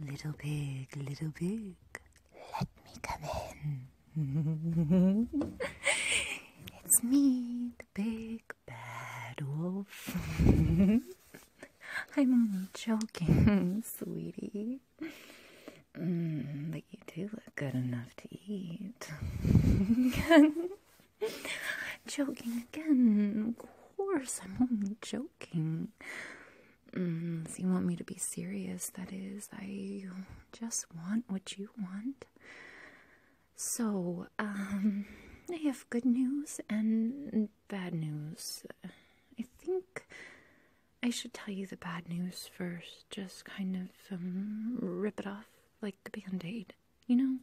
Little pig, little pig, let me come in. it's me, the big bad wolf. I'm only joking, sweetie. Mm, but you do look good enough to eat. joking again. Of course, I'm only joking. Mm, so you want me to be serious? That is, I just want what you want. So, um, I have good news and bad news. I think I should tell you the bad news first, just kind of um, rip it off like the band aid, you know?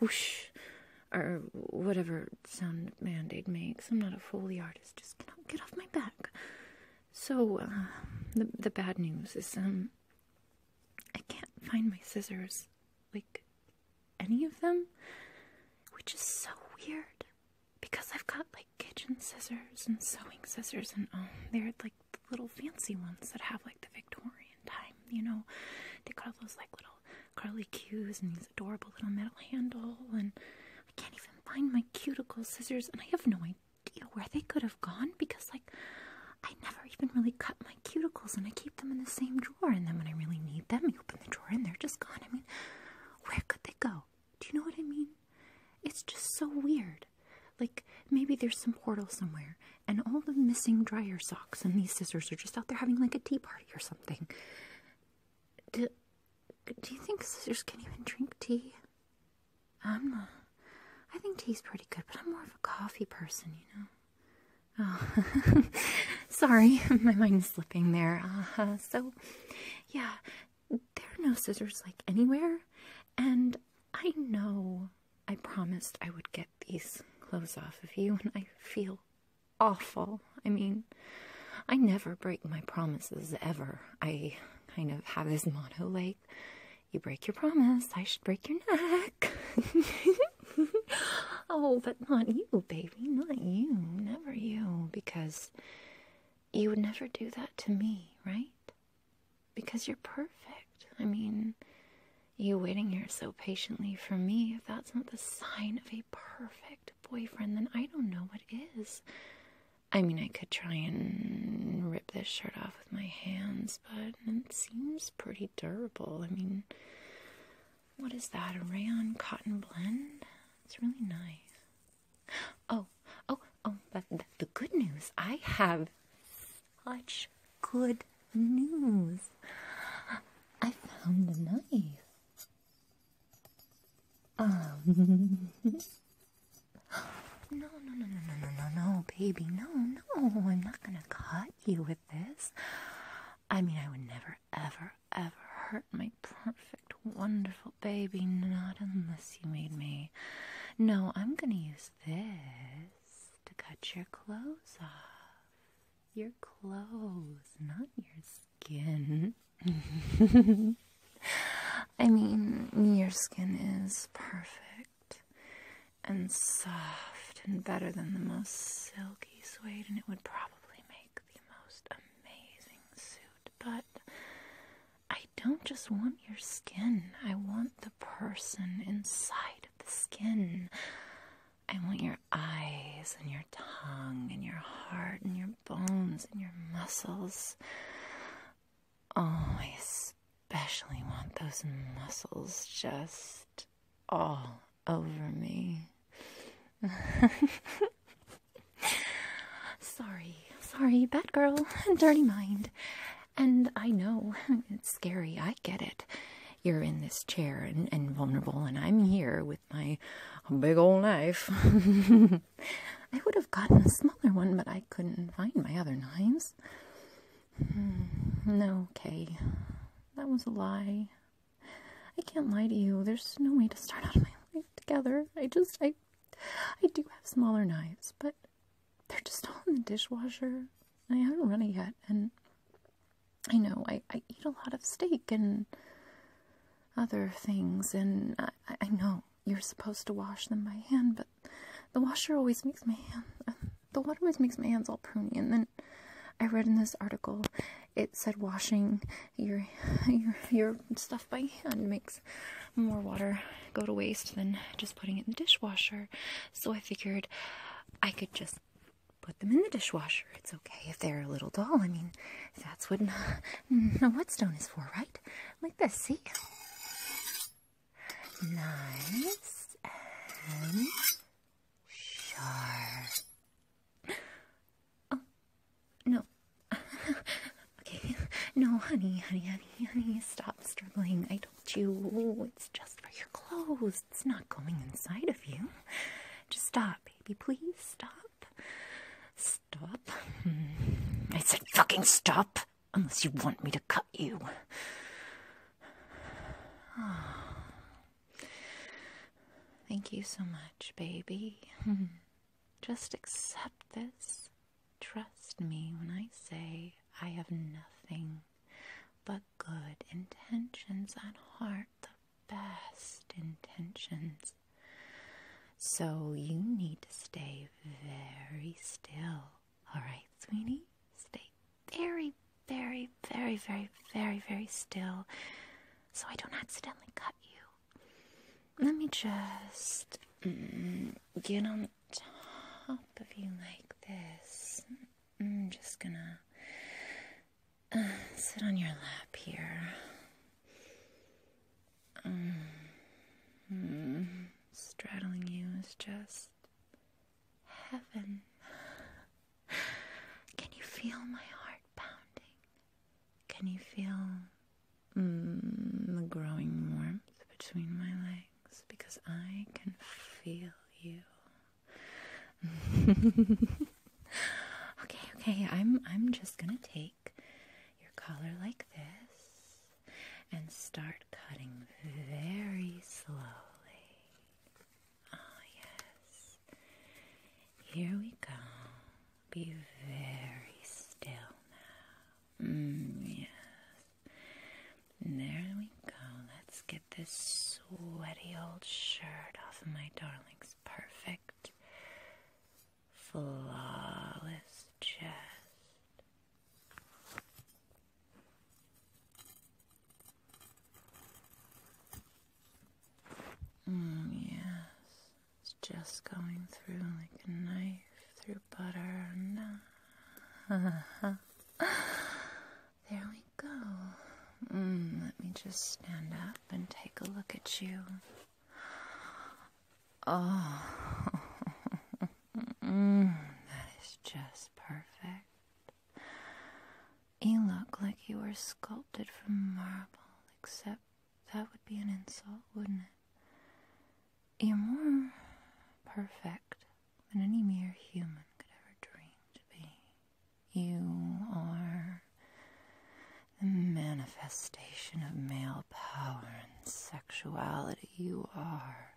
Whoosh! Or whatever sound band aid makes. I'm not a Foley artist, just get off, get off my back. So, uh, the, the bad news is, um, I can't find my scissors. Like, any of them? Which is so weird because I've got like kitchen scissors and sewing scissors and um, they're like little fancy ones that have like the Victorian time, you know. They got those like little curly cues and these adorable little metal handle and I can't even find my cuticle scissors and I have no idea where they could have gone because like I never even really cut my cuticles and I keep them in the same drawer and then when I really need them, I open the drawer and they're just gone. I mean, where could they go? Do you know what I mean? It's just so weird. Like, maybe there's some portal somewhere, and all the missing dryer socks and these scissors are just out there having like a tea party or something. Do, do you think scissors can even drink tea? I'm not. I think tea's pretty good, but I'm more of a coffee person, you know? Oh, sorry, my mind's slipping there. Uh, so, yeah, there are no scissors like anywhere, and I know I promised I would get these clothes off of you, and I feel awful. I mean, I never break my promises ever. I kind of have this motto like, you break your promise, I should break your neck. oh, but not you, baby, not you, never you, because you would never do that to me, right? Because you're perfect. I mean, you waiting here so patiently for me, if that's not the sign of a perfect boyfriend, then I don't know what is. I mean, I could try and rip this shirt off with my hands, but it seems pretty durable. I mean, what is that? rayon cotton blend? It's really nice. Oh, oh, oh, but the, good news I have such good news. I found the knife. Um. no, no, no, no, no, no, no, baby. No, no, I'm not going to cut you with this. I mean, I would never, ever, ever, hurt my perfect, wonderful baby. Not unless you made me. No, I'm gonna use this to cut your clothes off. Your clothes, not your skin. I mean, your skin is perfect and soft and better than the most silky suede, and it would probably make most amazing suit, but I don't just want your skin. I want the person inside of the skin. I want your eyes and your tongue and your heart and your bones and your muscles. Oh, I especially want those muscles just all over me. sorry, sorry, bad girl, dirty mind. And I know it's scary, I get it. You're in this chair and, vulnerable, and I'm here with my big old knife. I would have gotten a smaller one, but I couldn't find my other knives. Hmm, no, okay. That was a lie. I can't lie to you. There's no way to start out my life together. I just, I, I do have smaller knives, but they're just all in the dishwasher. I haven't run it yet, and I know I, I eat a lot of steak and other things, and I, I know you're supposed to wash them by hand, but the washer always makes my hands. Um, the water always makes my hands all pruny. And then I read in this article, it said washing your your stuff by hand makes more water go to waste than just putting it in the dishwasher. So I figured I could just put them in the dishwasher. It's okay if they're a little dull. I mean, that's what a whetstone is for, right? Like this, see? Nice and Sure. Oh, no. okay. No, honey, honey, honey, honey. Stop struggling. I told you. It's just for your clothes. It's not going inside of you. Just stop, baby. Please stop. Stop. Hmm. I said fucking stop. Unless you want me to cut you. Thank you so much, baby. Just accept this. Trust me when I say I have nothing but good intentions on heart, the best intentions. So you need to stay very still all right, Sweeney, stay very, very, very, very, very, very still so I don't accidentally cut you. Let me just mm, get on top of you like this. I'm mm, just gonna uh, sit on your lap here. Um, mm, straddling you is just heaven. Can you feel my heart pounding? Can you feel mm, the growing warmth between my legs? Because I can feel you. okay, okay. I'm I'm just going to take your collar like this and start cutting very slowly. Oh, yes. Here we go. Be very still now. Mm, yes. There we go. Let's get this sweaty old shirt off my darling's perfect, flawless chest. Mm, yes, it's just going through like a knife through butter. there we go. Mm, let me just stand up and take a look at you. Oh, that is just perfect. You look like you were sculpted from marble, except that would be an insult, wouldn't it? You're more perfect than any mere human could ever dream to be. You are the manifestation of male power sexuality you are.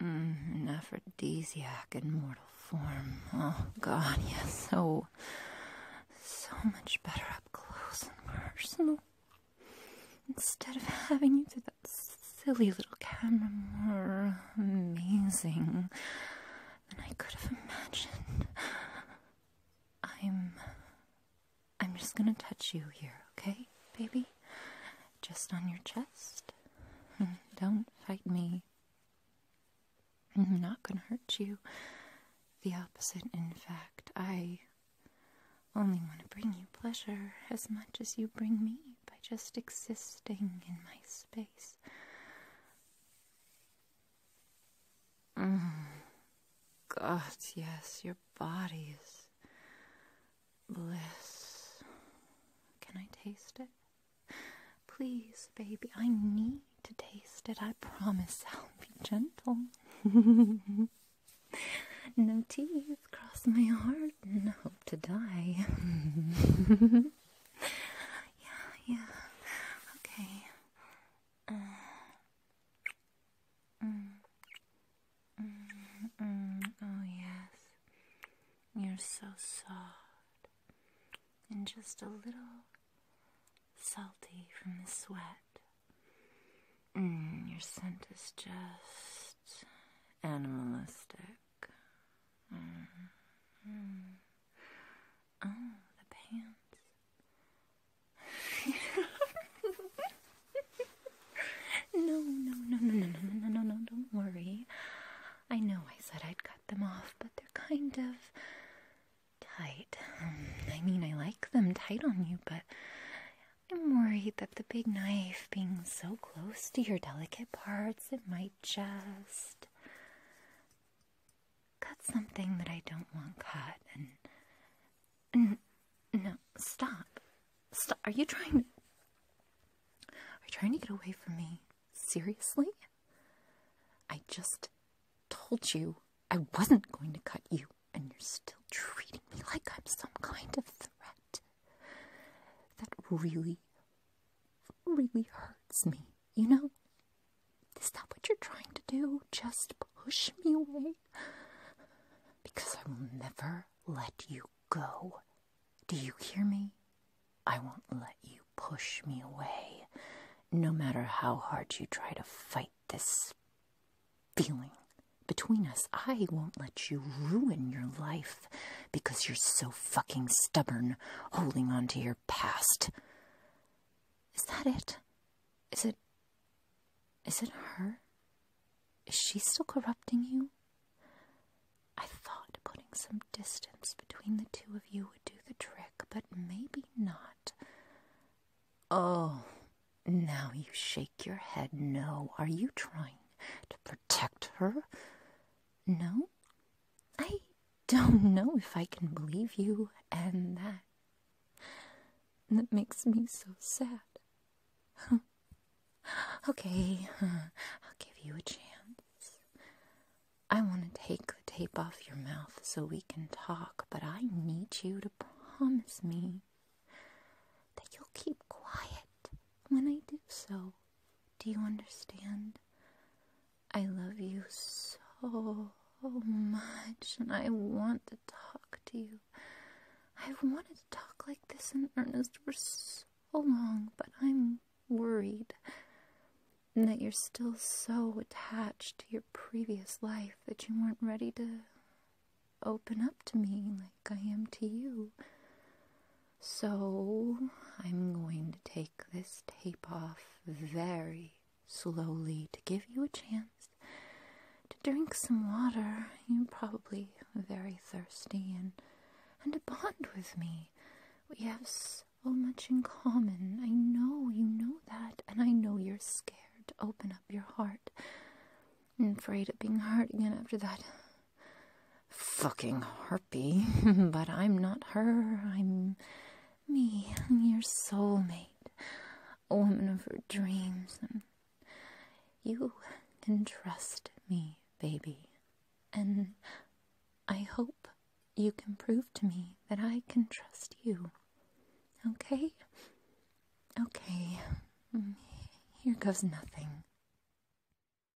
an mm, aphrodisiac in mortal form. Oh, God, you're so, so much better up close and personal. Instead of having you through that silly little camera more amazing than I could have imagined. I'm I'm just gonna touch you here, okay, baby? Just on your chest. Don't fight me. I'm not gonna hurt you. The opposite, in fact. I only want to bring you pleasure as much as you bring me by just existing in my space. Mm. God, yes, your body is bliss. Can I taste it? Please, baby, I need to taste it. I promise I'll be gentle. no teeth, cross my heart, and hope to die. yeah, yeah. Okay. Uh, Mm. Mm. Mm. oh, yes. You're so soft and just a little salty from the sweat. your scent is just animalistic. Oh, the pants. no, no, no, no, no, no, no, no, no, don't worry. I know I said I'd cut them off, but they're kind of tight. Um, I mean, I like them tight on you, but I'm worried that the big knife being so close to your delicate parts, it might just cut something that I don't want cut and. no, stop. Stop. Are you trying to. Are you trying to get away from me? Seriously? I just told you I wasn't going to cut you, and you're still treating me like I'm some kind of threat. That really, really hurts me. You know, is that what you're trying to do? Just push me away? Because I will never let you go. Do you hear me? I won't let you push me away, no matter how hard you try to fight this feeling between us. I won't let you ruin your life because you're so fucking stubborn holding on to your past. Is that it? Is it. Is it her? Is she still corrupting you? I thought putting some distance between the two of you would do the trick, but maybe not. Oh, now you shake your head. No, are you trying to protect her? No? I don't know if I can believe you, and that. That makes me so sad. okay, I'll give you a chance. I want to take the tape off your mouth so we can talk, but I need you to promise me that you'll keep quiet when I do so. Do you understand? I love you so much, and I want to talk to you. I've wanted to talk like this in earnest for so long, but I'm worried that you're still so attached to your previous life that you weren't ready to open up to me like I am to you. So I'm going to take this tape off very slowly to give you a chance to drink some water. You're probably very thirsty and and to bond with me. We have so much in common. I know you know that, and I know you're scared to open up your heart and afraid of being hurt again after that fucking harpy, but I'm not her. I'm me. I'm your soulmate, a woman of her dreams. And you can trust me, baby. And I hope you can prove to me that I can trust you. Okay? Okay. Mm, here goes nothing.